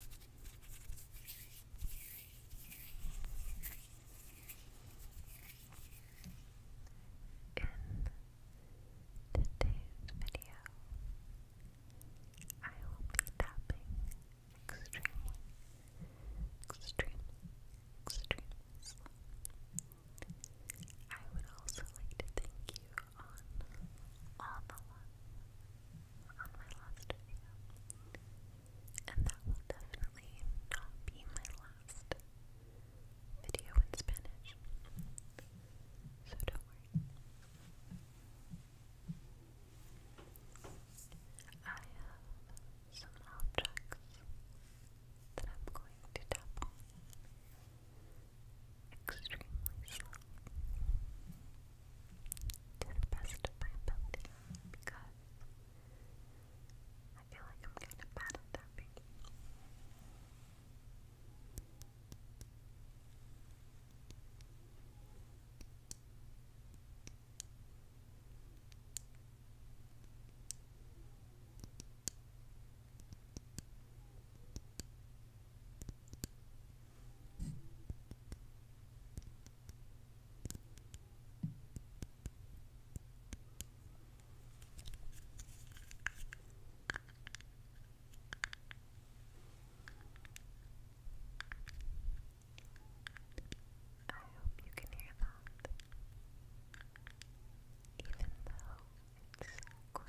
In today's video, I will be tapping extremely, extremely, extremely I would also like to thank you on all the love on my last video. And that will definitely not be my last video in Spanish. So don't worry. I have some objects that I'm going to tap extremely slowly to the best of my ability because I feel like I'm kind of bad at that. I hope you can hear that, even though it's so quiet.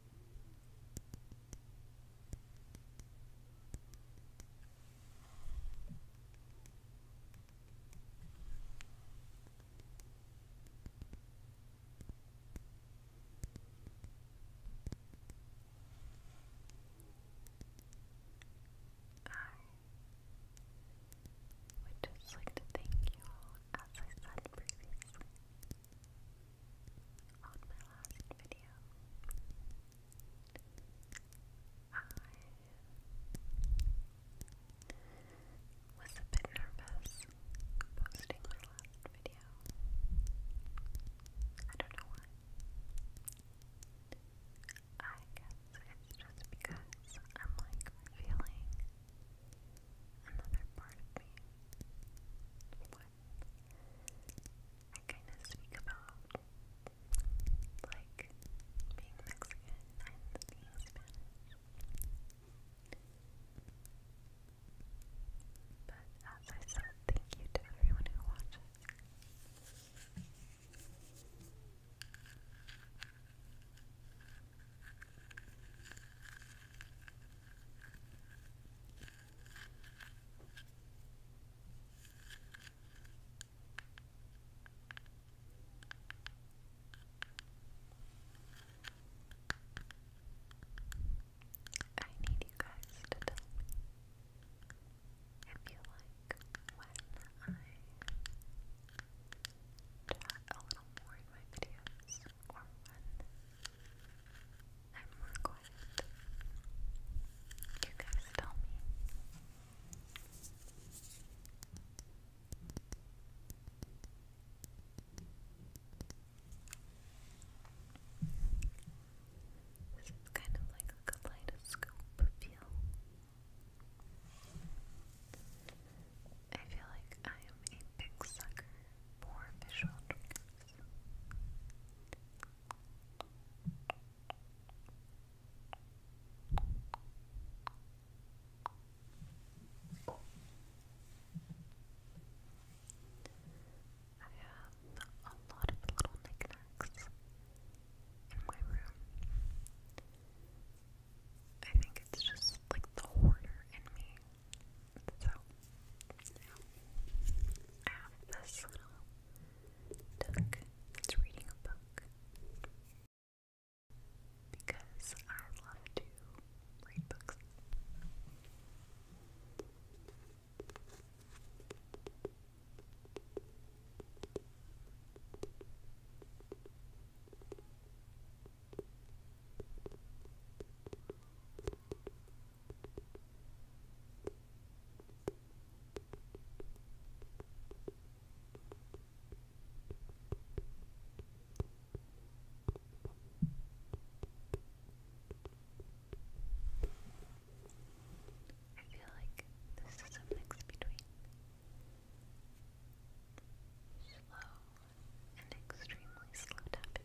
I would just like to thank you all, as I said previously, on my last video, I was a bit nervous posting my last video. I don't know why. I guess it's just because I'm like revealing another part of me. I kind of speak about like being Mexican and being But as I said, thank you to everyone who watches. I need you guys to tell me if you like when I chat a little more in my videos or when I'm more You guys tell me. This is kind of like a kaleidoscope feel. I feel like I am a big sucker for visual I have a lot of little knickknacks in my room. I think it's just like the hoarder in me so, now I have this little duck that's reading a book because I love to read books. I feel like this is a between slow and extremely slow tapping.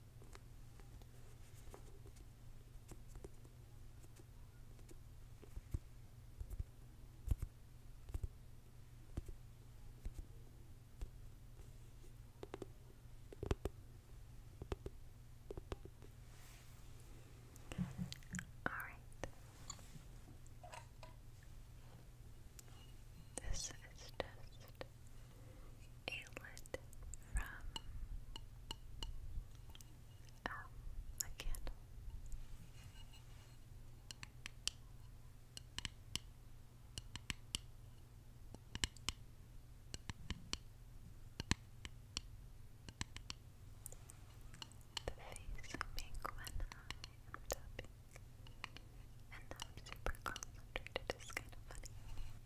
All right. This is just Alet from um, a candle. The face I make when I am tapping, and now I'm super concentrated. kind of funny.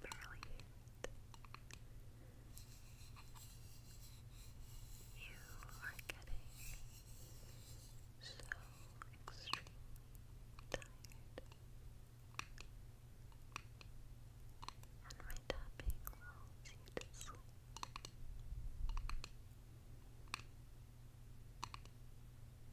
brilliant. You are getting so extremely tired. And my tapping lulls you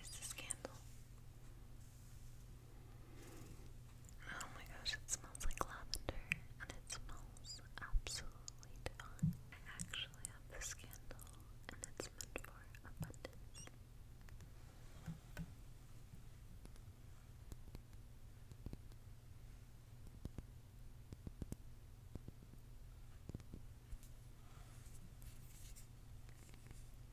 is this candle. Oh my gosh, it smells like lavender and it smells absolutely divine. I actually have this candle and it's meant for abundance. I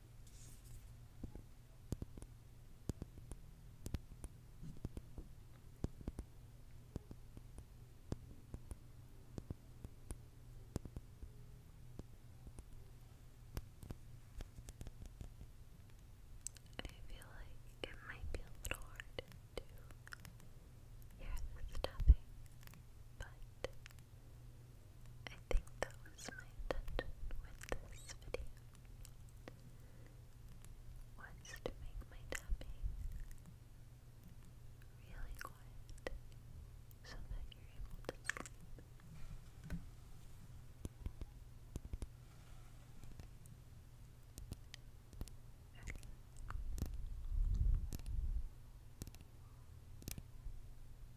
feel like it might be a little hard to hear the stuffing, but I think that was my intention with this video was to make my tapping really quiet so that you're able to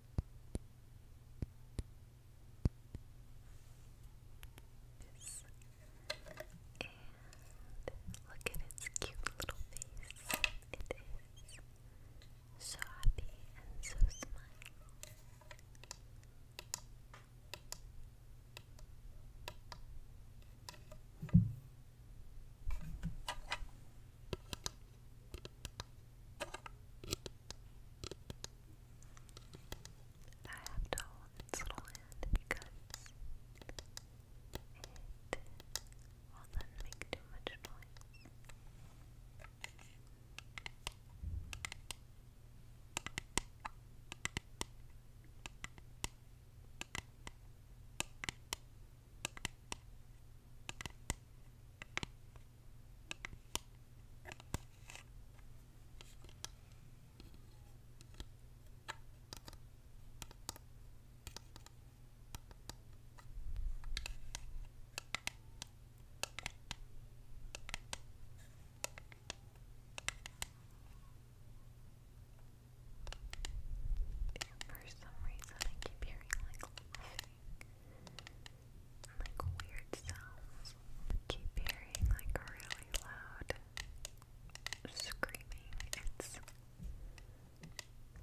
And look at its cute little face. It is so happy and so smiling. I have to hold its little hand because it will then make too much noise. For some reason, I keep hearing like and like weird sounds. Keep hearing like really loud screaming. It's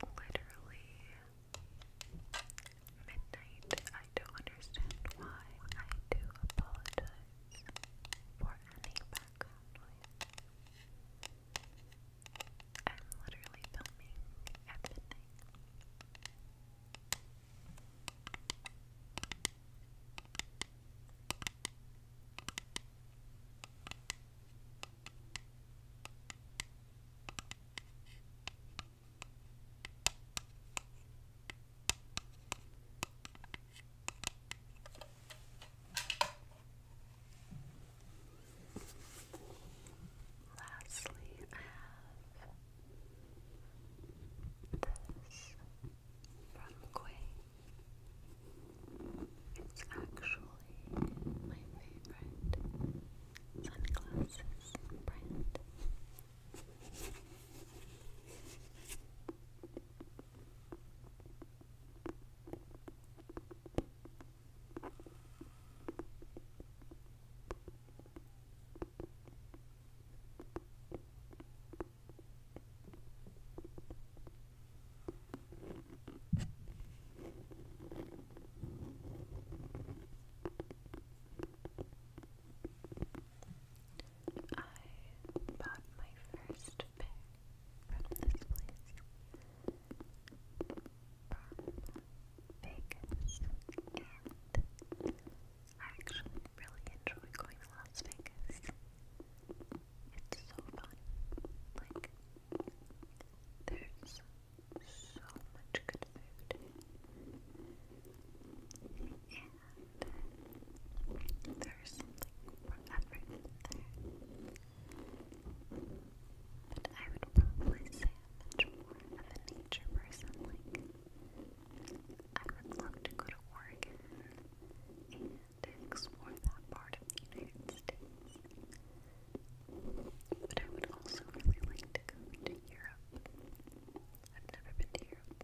literally midnight. I don't understand why. I do apologize for any background I'm literally filming at Lastly, I have this from Quay. It's actually my favorite sunglasses brand bought my first pick from this place. Vegas, and I actually really enjoy going to Las Vegas. It's so fun. Like, there's so much good food, and there's something for there. But I would probably say am a nature person. Like, I would love to go to Oregon and explore that part of the United States. But I would also really like to go to Europe. I've never been to Europe.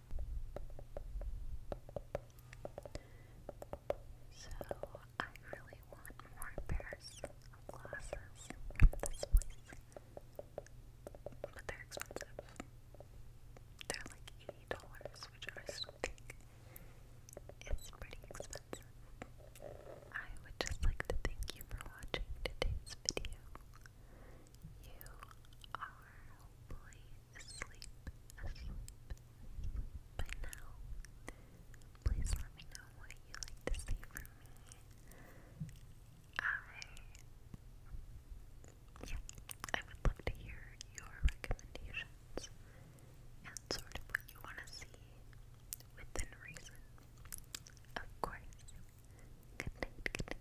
So, I really want more pairs of glasses from this place. But they're expensive. They're like $80, which still think is pretty expensive. I would just like to thank you for watching today's video. You are hopefully asleep, asleep, by now. Please let me know what you like to see from me. I, yeah, I would love to hear your recommendations and sort of what you want to see within reason. Of course. good night.